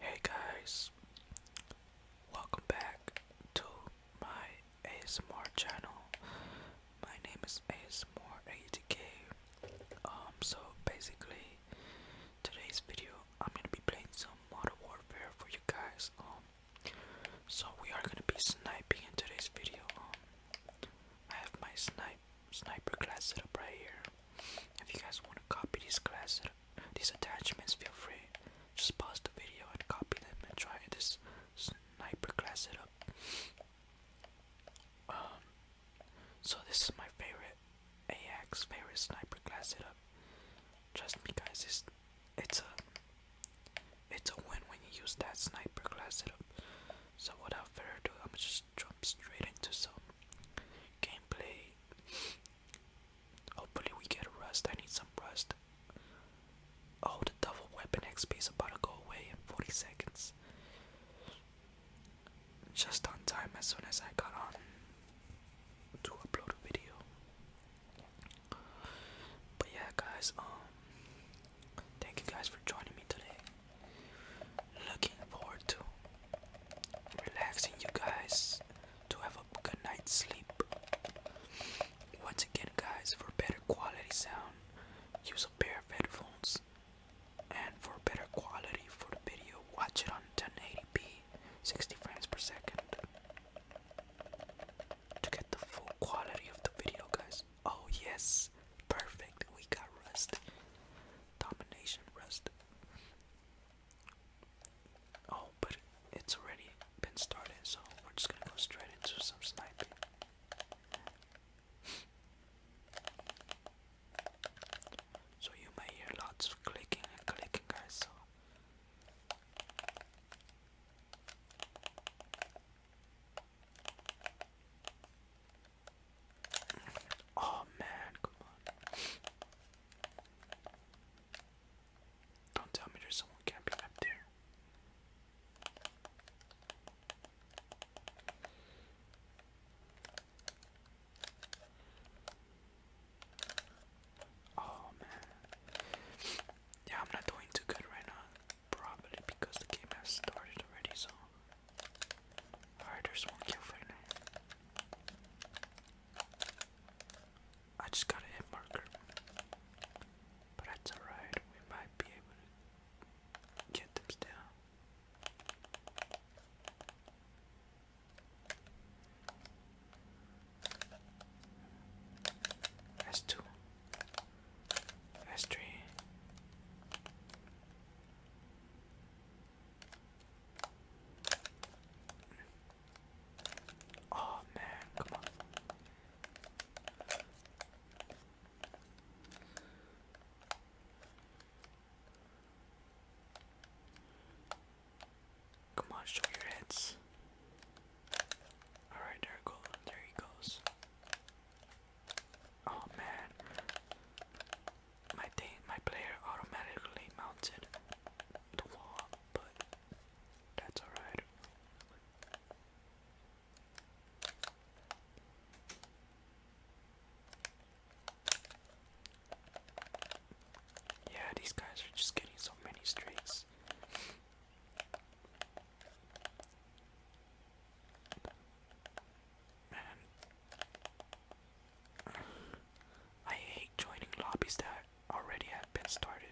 Hey guys, welcome back to my ASMR channel. My name is ASMR80k. Um, so basically, today's video I'm gonna be playing some Modern Warfare for you guys. Um, so we are gonna be sniping in today's video. Um, I have my snipe sniper class setup right here. If you guys want to copy this class setup, these attachments, feel free. Just pause the video and copy them and try this sniper class setup. Um, so this is my favorite AX favorite sniper class setup. Trust me, guys, it's it's a it's a win when you use that sniper class setup. So without further ado, I'm just jump straight into some gameplay. Hopefully, we get a I need some rest. Oh, the double weapon XP is about to go away in 40 seconds. Just on time as soon as I got on to upload a video. But yeah, guys, um, thank you guys for joining me today. Looking forward to relaxing you guys to have a good night's sleep. Once again, guys, for better quality sound, use a pair of headphones. And for better quality for the video, watch it on 1080p, 60 frames per second. To get the full quality of the video, guys. Oh yes, perfect. We got Rust. Domination Rust. Oh, but it's already been started, so we're just gonna go straight into some sniping. So you may hear lots of clicking and clicking, guys. So Oh man, come on. Don't tell me there's someone camping up there. Oh man. Yeah, I'm not doing too good right now. Probably because the game has started already, so Riders won't kill right now. I just got a hit marker. But that's alright, we might be able to get them down. That's two. That's three. Oh man, come on. Come on, show your heads. Alright, there it goes. There he goes. Oh man. My thing my player automatically mounted the wall, but that's alright. Yeah, these guys are just getting so many streaks. I hate joining lobbies that already have been started.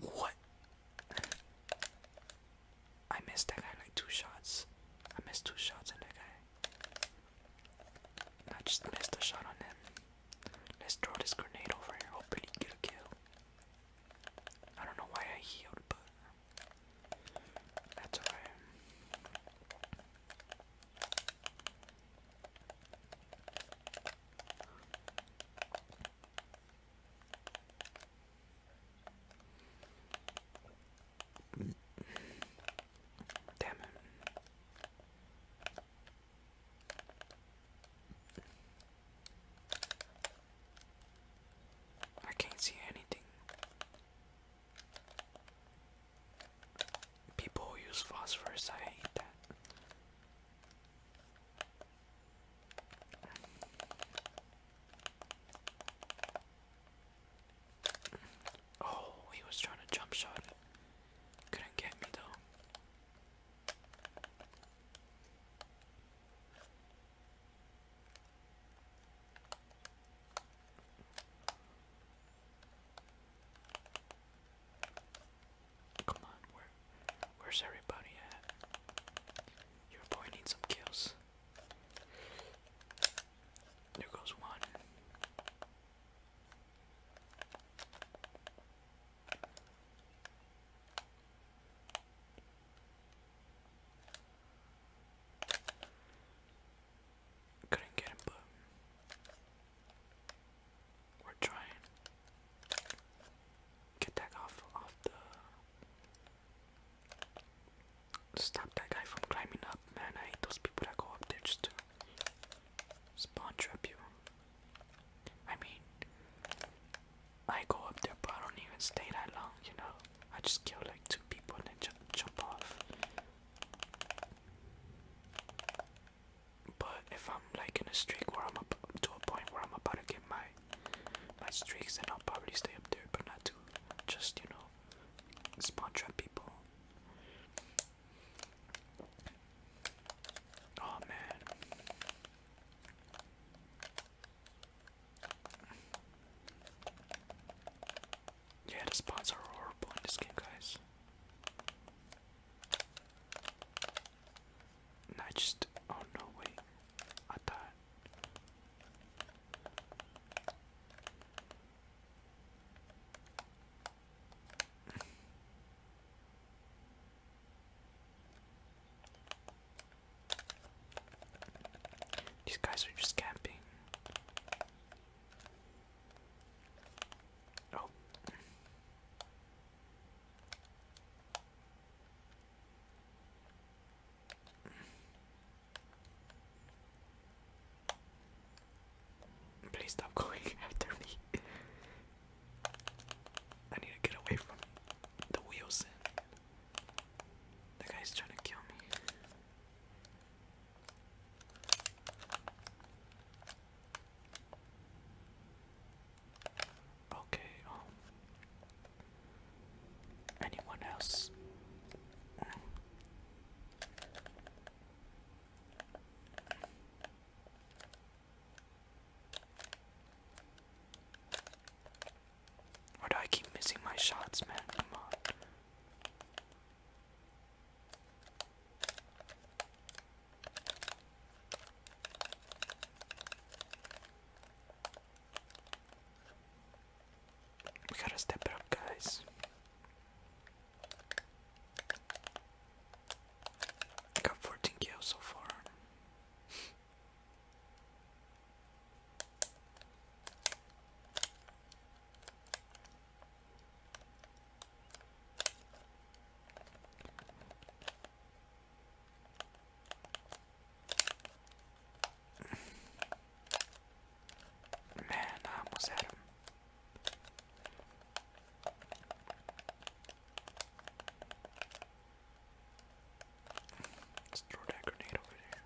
What? I missed that guy like two shots. I missed two shots on that guy. I just missed a shot on him. Let's throw this grenade over here, hopefully get a kill. I don't know why I healed, but that's alright. Damn it. I can't see anything. People use phosphorus, I hate that. Oh, he was trying to jump shot Couldn't get me though. Come on, where where's everybody at? Your boy needs some kills. There goes one. Couldn't get him, but we're trying. Get that off off the Stop that guy from climbing up, man. I hate those people that go up there just to spawn trap you. I mean, I go up there, but I don't even stay that long, you know? I just kill like two people and then ju jump off. But if I'm like in a streak where I'm up to a point where I'm about to get my my streaks, and I'll probably stay up there, but not to just, you know, spawn trap people. Oh man. Yeah, the spawns are horrible in this game, guys. I just. Oh no, wait. I thought. These guys are just camping. Oh. Please stop going after me. I need to get away from the wheels. The guy's trying to kill me. Okay, um anyone else? Why do I keep missing my shots, man? Come on. We gotta step it up, guys. got 14 kills so far. Man, I almost had him. Let's throw that grenade over there.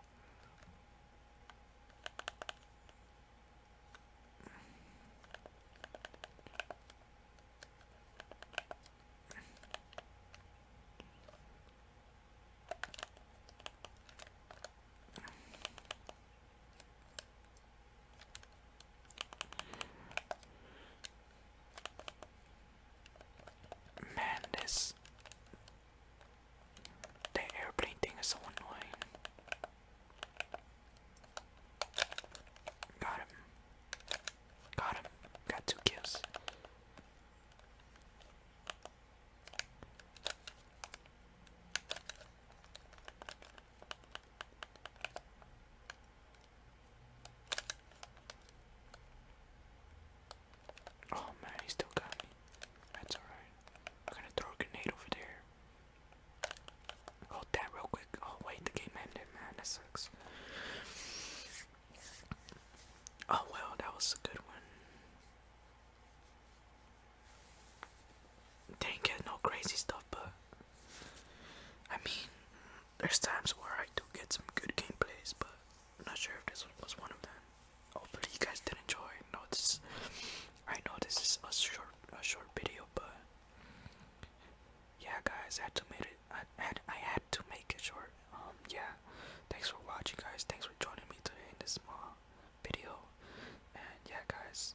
Man, this the airplane thing is so annoying. Got him. Got him. Got two kills. Oh man, he still got me. That's alright. I'm gonna throw a grenade over there. Hold that real quick. Oh wait, the game ended, man. That sucks. Oh well, that was a good one. Didn't get no crazy stuff, but I mean, there's times where I do get some good gameplays, but not sure if this was one of them. Hopefully, you guys did enjoy. No, this I know this is a short, a short video, but yeah guys I had to make it I had I had to make it short um yeah thanks for watching guys thanks for joining me today in this small video and yeah guys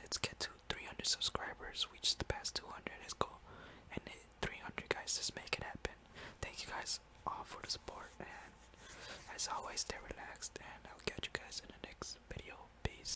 let's get to 300 subscribers we just passed 200 let's go and 300 guys just make it happen thank you guys all for the support and as always stay relaxed and I'll catch you guys in the next video peace